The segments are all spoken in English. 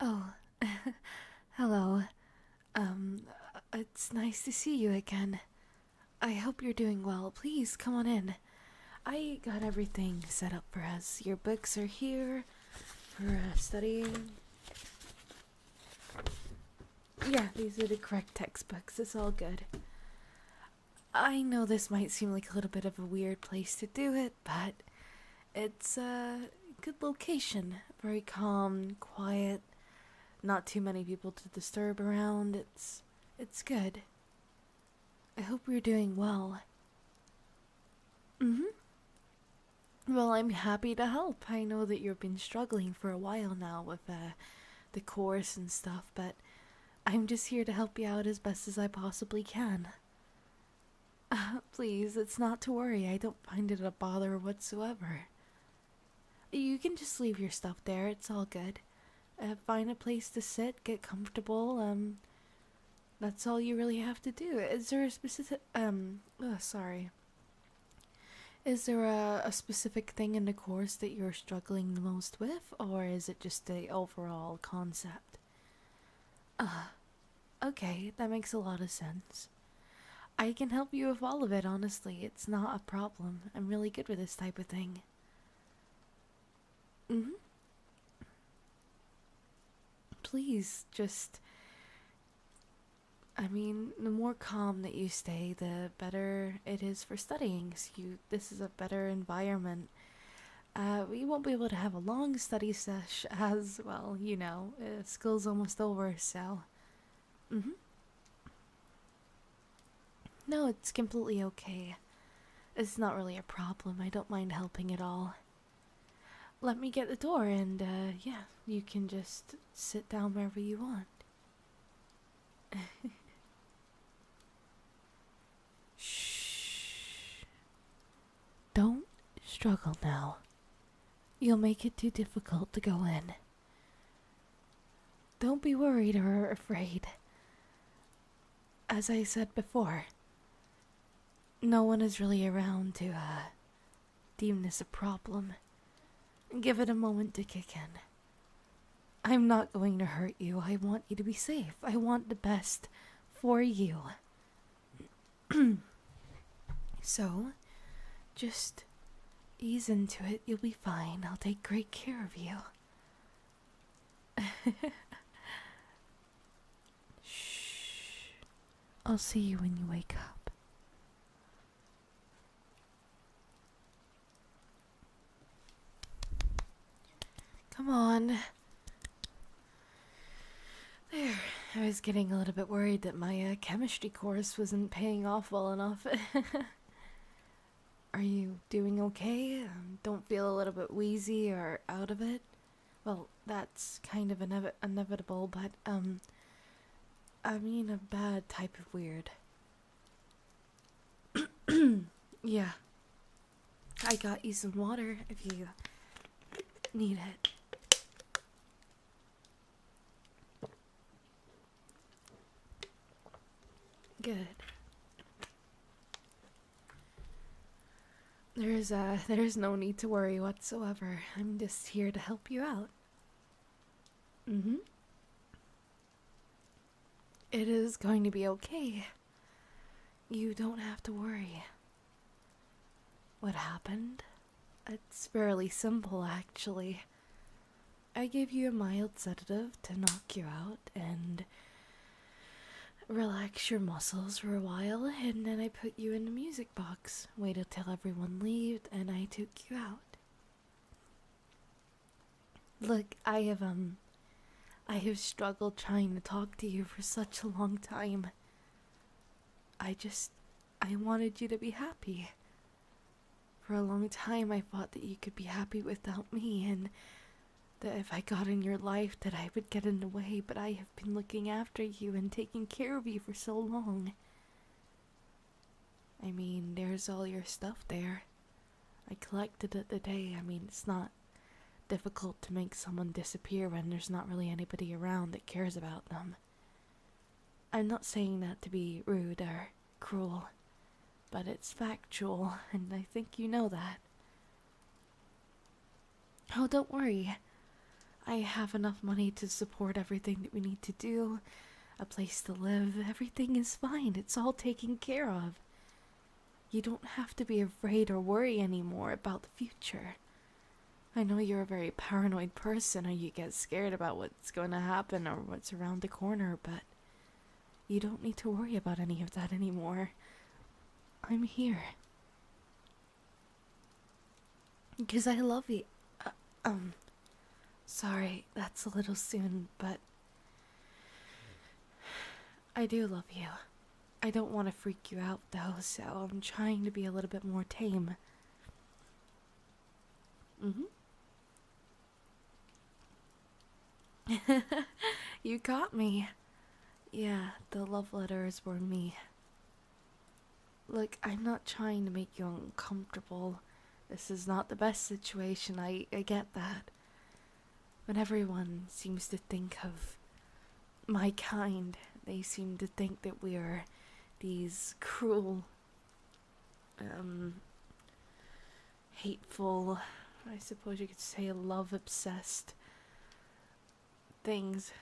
Oh, hello. Um, uh, it's nice to see you again. I hope you're doing well. Please come on in. I got everything set up for us. Your books are here for uh, studying. Yeah, these are the correct textbooks. It's all good. I know this might seem like a little bit of a weird place to do it, but it's a good location. Very calm, quiet, not too many people to disturb around. It's it's good. I hope you're doing well. Mhm. well, I'm happy to help. I know that you've been struggling for a while now with uh, the course and stuff, but I'm just here to help you out as best as I possibly can. please, it's not to worry. I don't find it a bother whatsoever. You can just leave your stuff there. It's all good. Uh, find a place to sit, get comfortable. Um, that's all you really have to do. Is there a specific um? sorry. Is there a, a specific thing in the course that you're struggling the most with, or is it just the overall concept? Uh, okay, that makes a lot of sense. I can help you with all of it, honestly. It's not a problem. I'm really good with this type of thing. Mm hmm. Please, just. I mean, the more calm that you stay, the better it is for studying. you, this is a better environment uh, we won't be able to have a long study sesh as well, you know, uh, school's almost over, so. Mm hmm. No, it's completely okay. It's not really a problem. I don't mind helping at all. Let me get the door, and uh, yeah, you can just sit down wherever you want. Shh. Don't struggle now. You'll make it too difficult to go in. Don't be worried or afraid. As I said before, no one is really around to uh, deem this a problem. Give it a moment to kick in. I'm not going to hurt you. I want you to be safe. I want the best for you. so, just ease into it. You'll be fine. I'll take great care of you. Shh. I'll see you when you wake up. Come on. There, I was getting a little bit worried that my uh, chemistry course wasn't paying off well enough. Are you doing okay? Um, don't feel a little bit wheezy or out of it? Well, that's kind of inevitable, but, um, I mean a bad type of weird. yeah, I got you some water if you need it. Good. There's uh there's no need to worry whatsoever. I'm just here to help you out. Mhm. Mm it is going to be okay. You don't have to worry. What happened? It's fairly simple, actually. I gave you a mild sedative to knock you out and relax your muscles for a while, and then I put you in the music box, waited till everyone left, and I took you out. Look, I have, um, I have struggled trying to talk to you for such a long time. I just. I wanted you to be happy. For a long time, I thought that you could be happy without me, and that if I got in your life, that I would get in the way. But I have been looking after you and taking care of you for so long. I mean, there's all your stuff there. I collected it today. I mean, it's not Difficult to make someone disappear when there's not really anybody around that cares about them. I'm not saying that to be rude or cruel, but it's factual, and I think you know that. Oh, don't worry. I have enough money to support everything that we need to do, a place to live. Everything is fine. It's all taken care of. You don't have to be afraid or worry anymore about the future. I know you're a very paranoid person and you get scared about what's going to happen or what's around the corner, but you don't need to worry about any of that anymore. I'm here. Because I love you. Uh, um, sorry, that's a little soon, but I do love you. I don't want to freak you out though, so I'm trying to be a little bit more tame. Mm-hmm. you caught me. Yeah, the love letters were me. Look, I'm not trying to make you uncomfortable. This is not the best situation, I, I get that. When everyone seems to think of my kind. They seem to think that we are these cruel, um, hateful, I suppose you could say love obsessed things.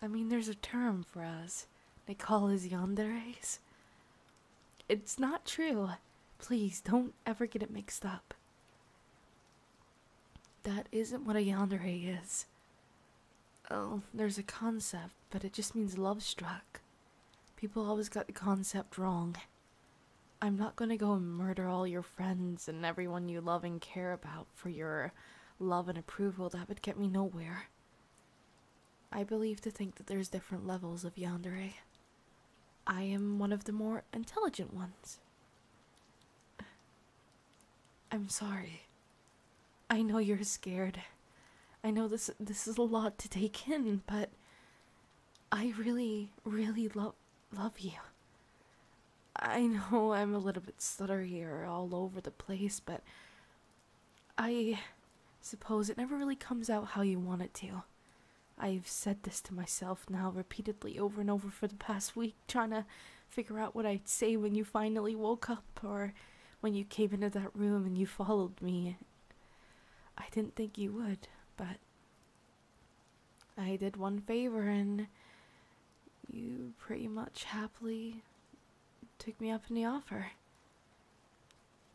I mean, there's a term for us. They call us yanderes. It's not true. Please don't ever get it mixed up. That isn't what a yandere is. Oh, there's a concept, but it just means love struck. People always got the concept wrong. I'm not gonna go and murder all your friends and everyone you love and care about for your love and approval. That would get me nowhere. I believe to think that there's different levels of yandere. I am one of the more intelligent ones. I'm sorry. I know you're scared. I know this this is a lot to take in, but I really really love love you. I know I'm a little bit stuttery or all over the place, but I suppose it never really comes out how you want it to. I've said this to myself now repeatedly over and over for the past week trying to figure out what I'd say when you finally woke up or when you came into that room and you followed me. I didn't think you would, but I did one favor and you pretty much happily took me up on the offer.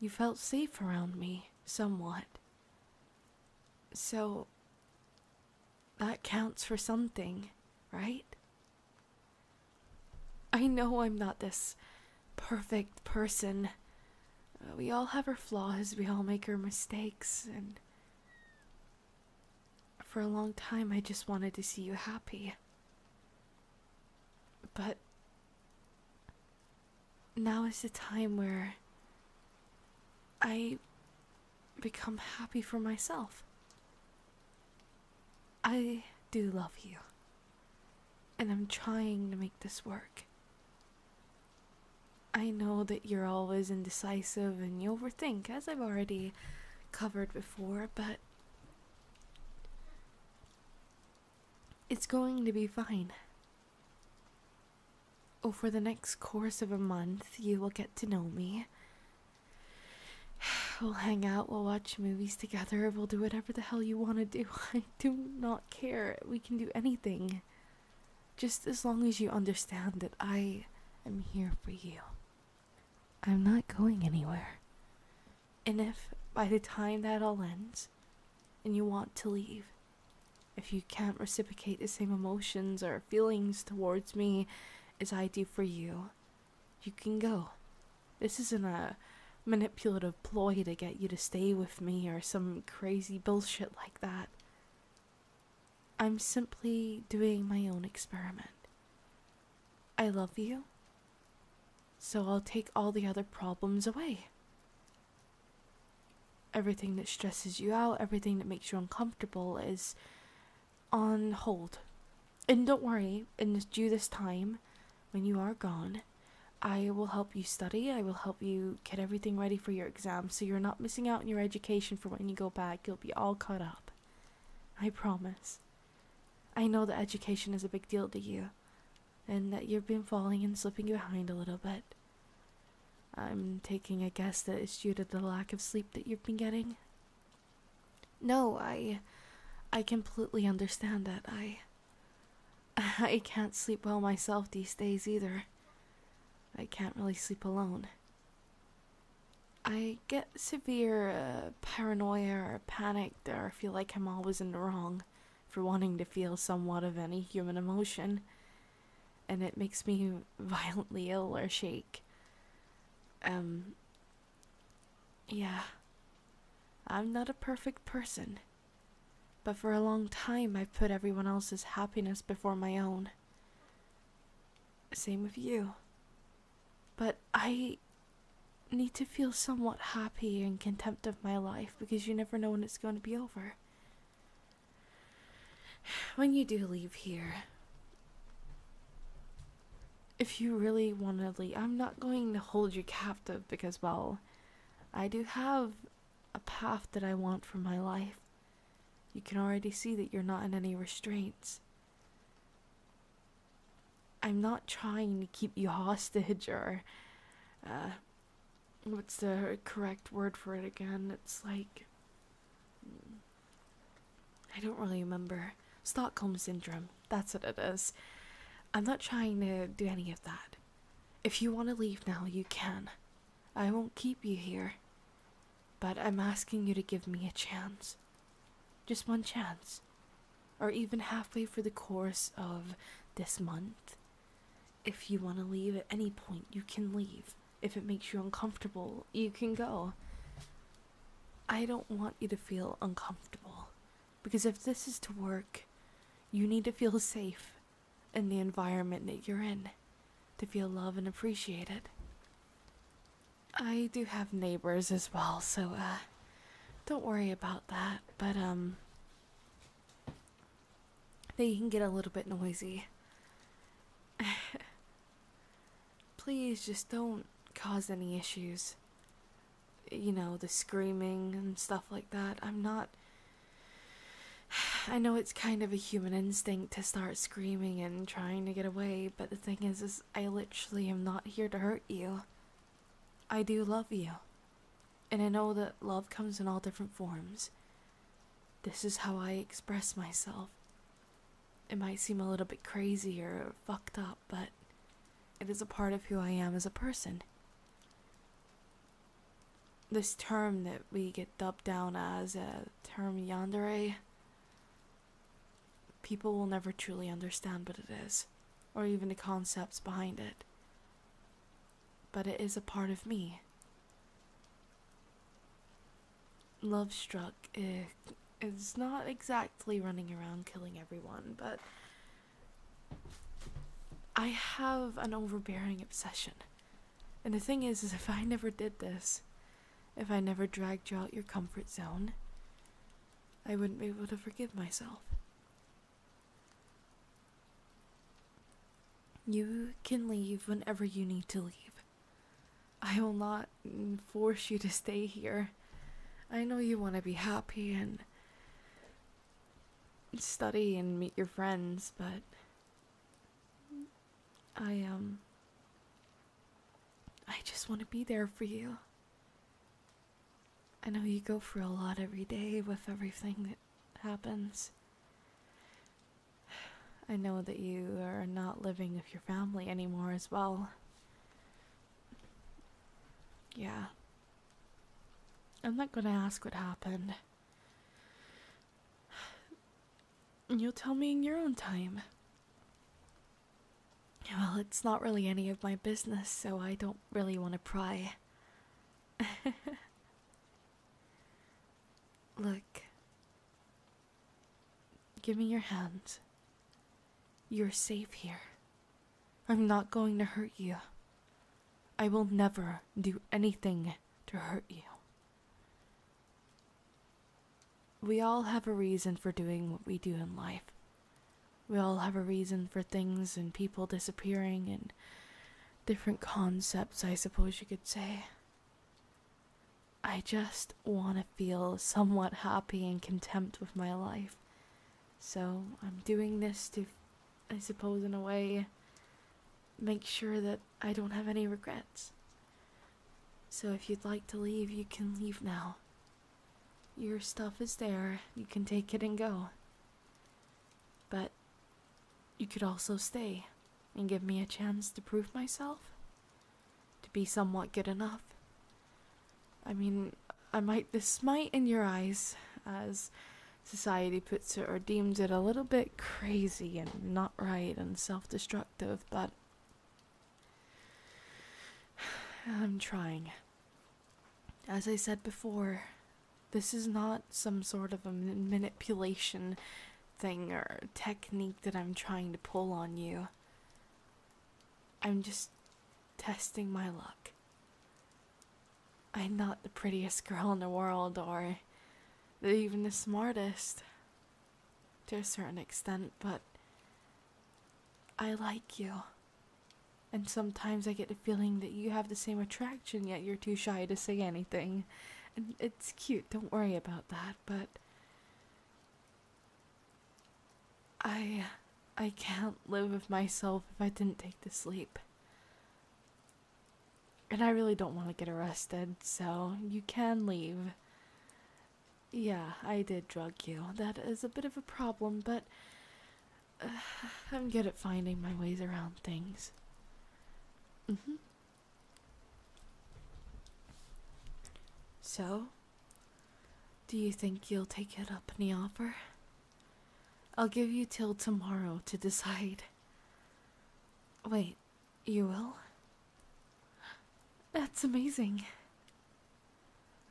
You felt safe around me, somewhat. So, that counts for something, right? I know I'm not this perfect person. Uh, we all have our flaws, we all make our mistakes, and for a long time I just wanted to see you happy. But now is the time where I become happy for myself. I do love you, and I'm trying to make this work. I know that you're always indecisive and you overthink, as I've already covered before, but it's going to be fine. Over the next course of a month, you will get to know me, We'll hang out, we'll watch movies together, we'll do whatever the hell you want to do. I do not care. We can do anything. Just as long as you understand that I am here for you. I'm not going anywhere. And if by the time that all ends and you want to leave, if you can't reciprocate the same emotions or feelings towards me as I do for you, you can go. This isn't a manipulative ploy to get you to stay with me or some crazy bullshit like that. I'm simply doing my own experiment. I love you, so I'll take all the other problems away. Everything that stresses you out, everything that makes you uncomfortable is on hold. And don't worry, and due this time, when you are gone, I will help you study. I will help you get everything ready for your exams, so you're not missing out on your education for when you go back. You'll be all caught up. I promise. I know that education is a big deal to you and that you've been falling and slipping behind a little bit. I'm taking a guess that it's due to the lack of sleep that you've been getting. No, I I completely understand that. I I can't sleep well myself these days either. I can't really sleep alone. I get severe uh, paranoia or panicked or feel like I'm always in the wrong for wanting to feel somewhat of any human emotion, and it makes me violently ill or shake. Um. Yeah. I'm not a perfect person. But for a long time, i put everyone else's happiness before my own. Same with you. But I need to feel somewhat happy in contempt of my life because you never know when it's going to be over. When you do leave here, if you really want to leave, I'm not going to hold you captive because, well, I do have a path that I want for my life. You can already see that you're not in any restraints. I'm not trying to keep you hostage or, uh, what's the correct word for it again? It's like. I don't really remember. Stockholm Syndrome. That's what it is. I'm not trying to do any of that. If you want to leave now, you can. I won't keep you here. But I'm asking you to give me a chance. Just one chance. Or even halfway for the course of this month. If you want to leave at any point, you can leave if it makes you uncomfortable, you can go. I don't want you to feel uncomfortable because if this is to work, you need to feel safe in the environment that you're in, to feel loved and appreciated. I do have neighbors as well, so uh, don't worry about that, but um, they can get a little bit noisy. please just don't cause any issues. You know, the screaming and stuff like that. I'm not. I know it's kind of a human instinct to start screaming and trying to get away, but the thing is, is I literally am not here to hurt you. I do love you. And I know that love comes in all different forms. This is how I express myself. It might seem a little bit crazy or fucked up, but it is a part of who I am as a person. This term that we get dubbed down as a term yandere, people will never truly understand what it is, or even the concepts behind it. But it is a part of me. Love Struck eh, is not exactly running around killing everyone, but I have an overbearing obsession. And the thing is, is if I never did this, if I never dragged you out your comfort zone, I wouldn't be able to forgive myself. You can leave whenever you need to leave. I will not force you to stay here. I know you want to be happy and study and meet your friends, but I um I just want to be there for you. I know you go through a lot every day with everything that happens. I know that you are not living with your family anymore as well. Yeah. I'm not gonna ask what happened. You'll tell me in your own time. Well, it's not really any of my business, so I don't really want to pry. Look, Give me your hand. You're safe here. I'm not going to hurt you. I will never do anything to hurt you. We all have a reason for doing what we do in life. We all have a reason for things and people disappearing and different concepts, I suppose you could say. I just want to feel somewhat happy in contempt with my life. So I'm doing this to, I suppose, in a way, make sure that I don't have any regrets. So if you'd like to leave, you can leave now. Your stuff is there, you can take it and go. But you could also stay and give me a chance to prove myself to be somewhat good enough. I mean, I might, this might, in your eyes, as society puts it or deems it, a little bit crazy and not right and self destructive, but I'm trying. As I said before, this is not some sort of a manipulation thing or technique that I'm trying to pull on you. I'm just testing my luck. I'm not the prettiest girl in the world or even the smartest to a certain extent, but I like you. And sometimes I get the feeling that you have the same attraction, yet you're too shy to say anything. And it's cute, don't worry about that, but I I can't live with myself if I didn't take the sleep. And I really don't want to get arrested, so you can leave. Yeah, I did drug you. That is a bit of a problem, but I'm good at finding my ways around things. Mhm. so, do you think you'll take it up in the offer? I'll give you till tomorrow to decide. Wait, you will? That's amazing.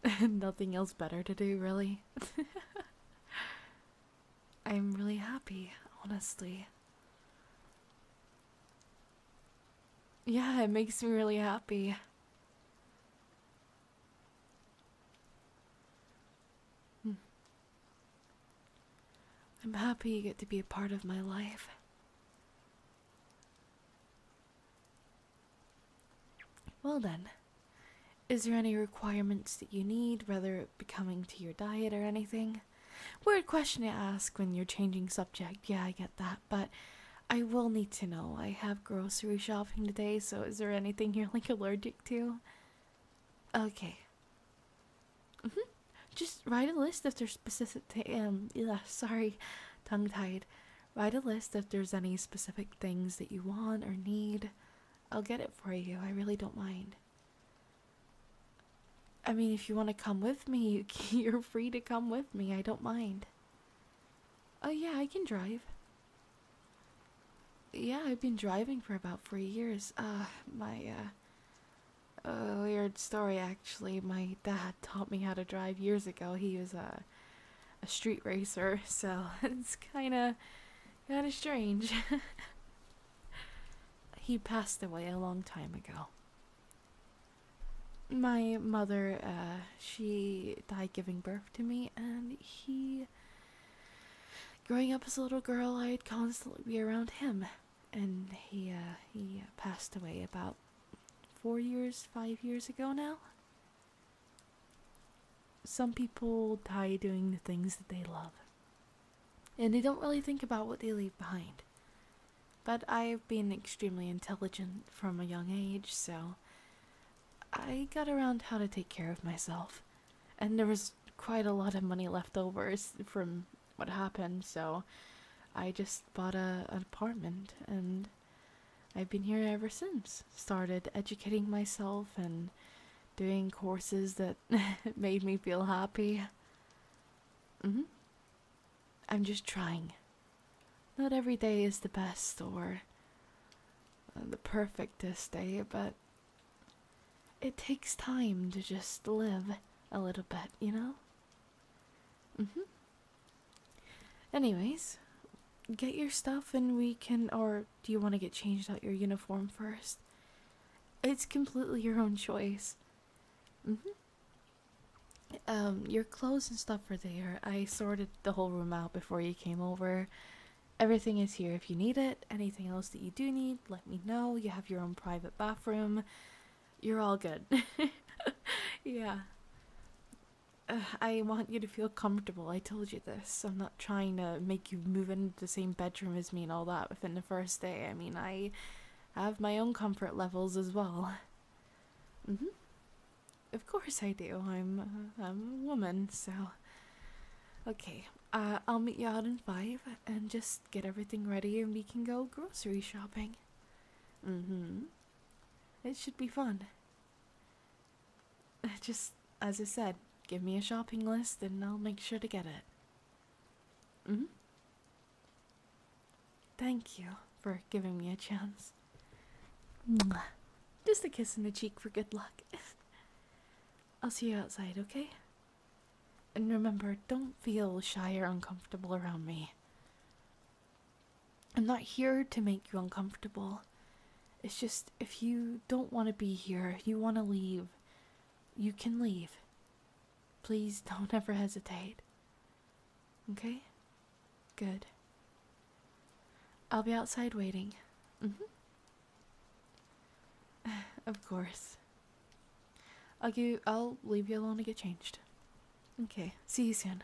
Nothing else better to do, really. I'm really happy, honestly. Yeah, it makes me really happy. Hmm. I'm happy you get to be a part of my life. Well, then, is there any requirements that you need, whether it be coming to your diet or anything? Weird question to ask when you're changing subject, yeah, I get that but I will need to know. I have grocery shopping today, so is there anything you're like allergic to? Okay. Mm -hmm. Just write a list if there's specific. Um, yeah, sorry, tongue tied. Write a list if there's any specific things that you want or need. I'll get it for you. I really don't mind. I mean, if you want to come with me, you're free to come with me. I don't mind. Oh, yeah, I can drive. Yeah, I've been driving for about four years. Uh, my, uh, weird story actually. My dad taught me how to drive years ago. He was a, a street racer, so it's kind of, kind of strange. he passed away a long time ago my mother uh, she died giving birth to me and he growing up as a little girl i'd constantly be around him and he uh, he passed away about four years five years ago now some people die doing the things that they love and they don't really think about what they leave behind but I've been extremely intelligent from a young age, so I got around how to take care of myself. And there was quite a lot of money left over from what happened, so I just bought a, an apartment and I've been here ever since. Started educating myself and doing courses that made me feel happy. Mm-hmm. I'm just trying. Not every day is the best or uh, the perfectest day, but it takes time to just live a little bit, you know? Mm hmm. Anyways, get your stuff and we can. Or do you want to get changed out your uniform first? It's completely your own choice. Mm hmm. Um, your clothes and stuff are there. I sorted the whole room out before you came over. Everything is here if you need it. Anything else that you do need, let me know. You have your own private bathroom. You're all good. yeah. I want you to feel comfortable. I told you this. I'm not trying to make you move into the same bedroom as me and all that within the first day. I mean, I have my own comfort levels as well. Mm hmm. Of course I do. I'm I'm a woman, so okay. Uh, I'll meet you out in five and just get everything ready, and we can go grocery shopping. Mm-hmm. It should be fun. Just as I said, give me a shopping list, and I'll make sure to get it. Mm hmm. Thank you for giving me a chance. Just a kiss on the cheek for good luck. I'll see you outside, okay? And remember, don't feel shy or uncomfortable around me. I'm not here to make you uncomfortable. It's just if you don't want to be here, you want to leave, you can leave. Please don't ever hesitate. Okay? Good. I'll be outside waiting. Mm hmm. of course. I'll you I'll leave you alone to get changed. Okay. See you soon.